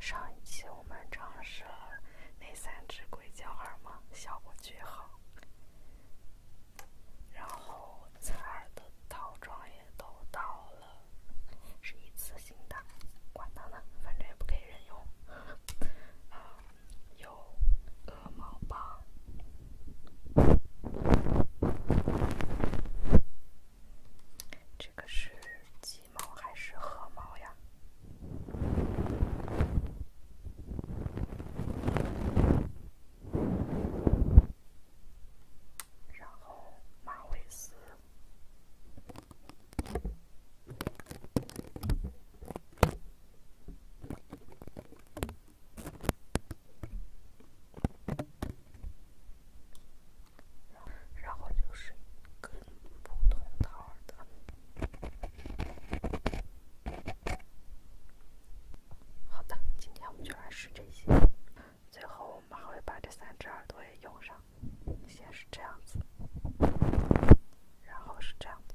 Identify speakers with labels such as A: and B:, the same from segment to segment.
A: 上一期我们尝试了那三只硅胶耳膜，效果巨好。然后，咱耳的套装也都到了，是一次性的，管它呢，反正也不可以任用。有。鹅毛吧，这个是鸡毛还是鹅毛呀？然后马尾丝。然后就是一个普通的耳朵。好的，今天我们就来试这些。最后我们还会把这三只耳朵也用上，先是这样子，然后是这样子。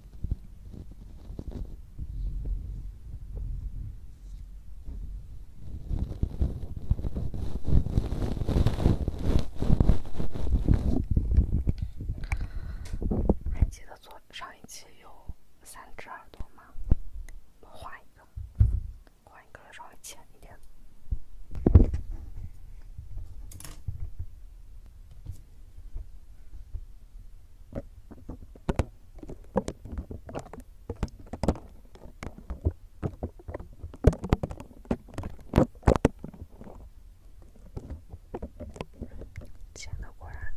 B: 还记得左上一期有三只耳朵吗？我一个，换一个稍微浅一点。剪的果然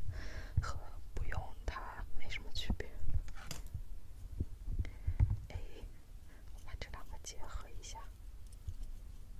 B: 和不用它没什么区别。哎，我把这两个结合一下。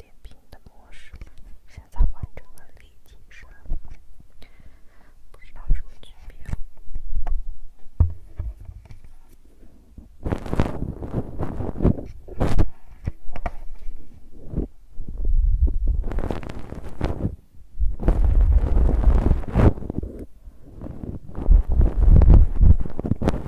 B: 点评的模式，现在完成了立体声，不知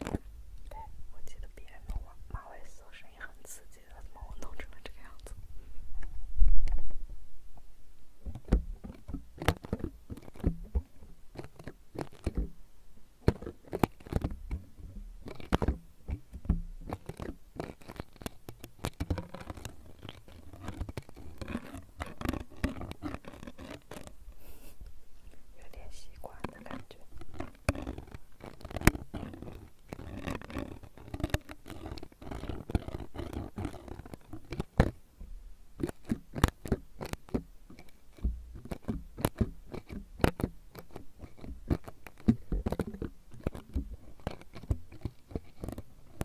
C: 对，我记得别弄我，马尾松声音很刺激的，怎么我弄成了这个样子？有点习惯的感觉。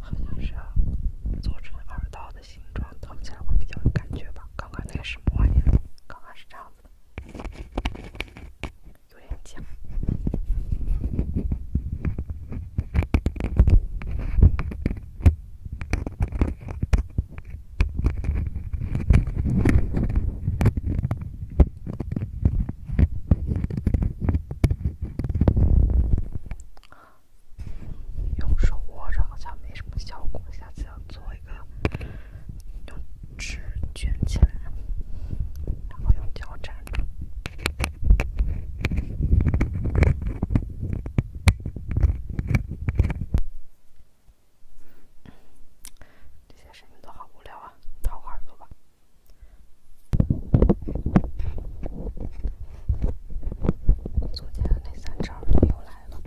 C: 好像是啊，做成耳刀的形状，藏起来会比较有感觉吧。刚刚那个什么玩意？刚刚是这样子的。有点僵，用手握着好像没什么效果，下次要做一个用。纸卷起来，然后用胶粘。这些视频都好无聊啊！掏耳朵吧。昨天那三只耳朵又来了。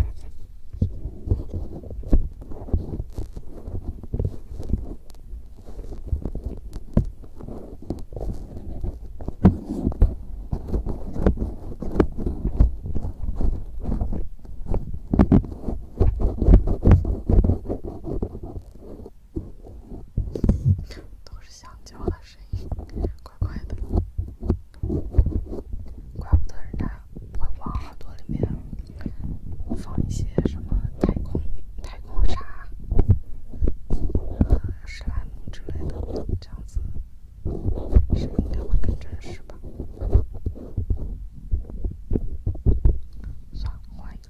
C: 都是香蕉的声音，怪怪的，怪不得人家会往耳朵里面。放一些什么太空、太空沙、石蜡木之类的，这样子是应该会更真实吧？算了，换一个。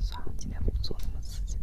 C: 算了，今天不做那么刺激的。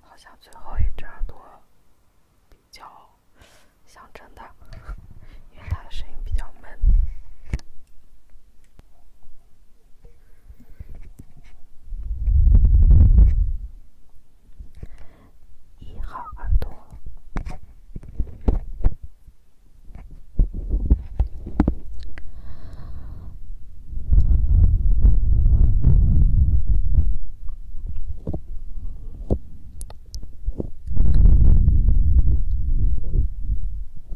C: 好像
A: 最后一只耳朵比较象征的，因为它的声音比较闷。一号耳朵。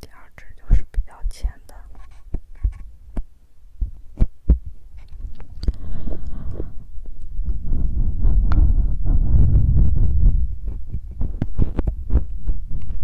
A: 第二支就是比较浅的。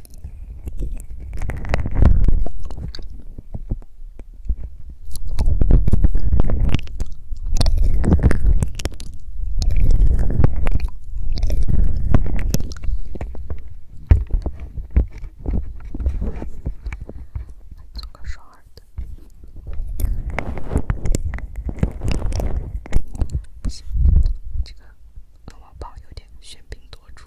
A: 做个双耳的，喧宾夺主。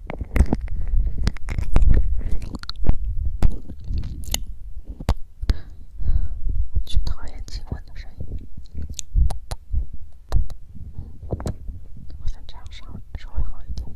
A: 最讨厌亲吻的声音。我想这样稍微好一点。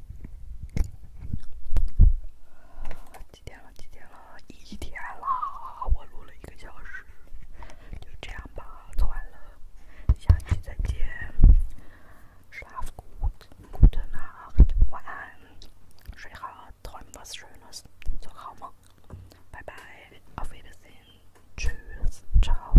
A: 几点了？几点了？一天了，我录了一个小时，就这样吧，做完了，下期再见。Schlaf gut，guten Abend，晚安，睡好，Träum was schönes，做好梦，拜拜
C: ，Auf Wiedersehen，Tschüss，Ciao。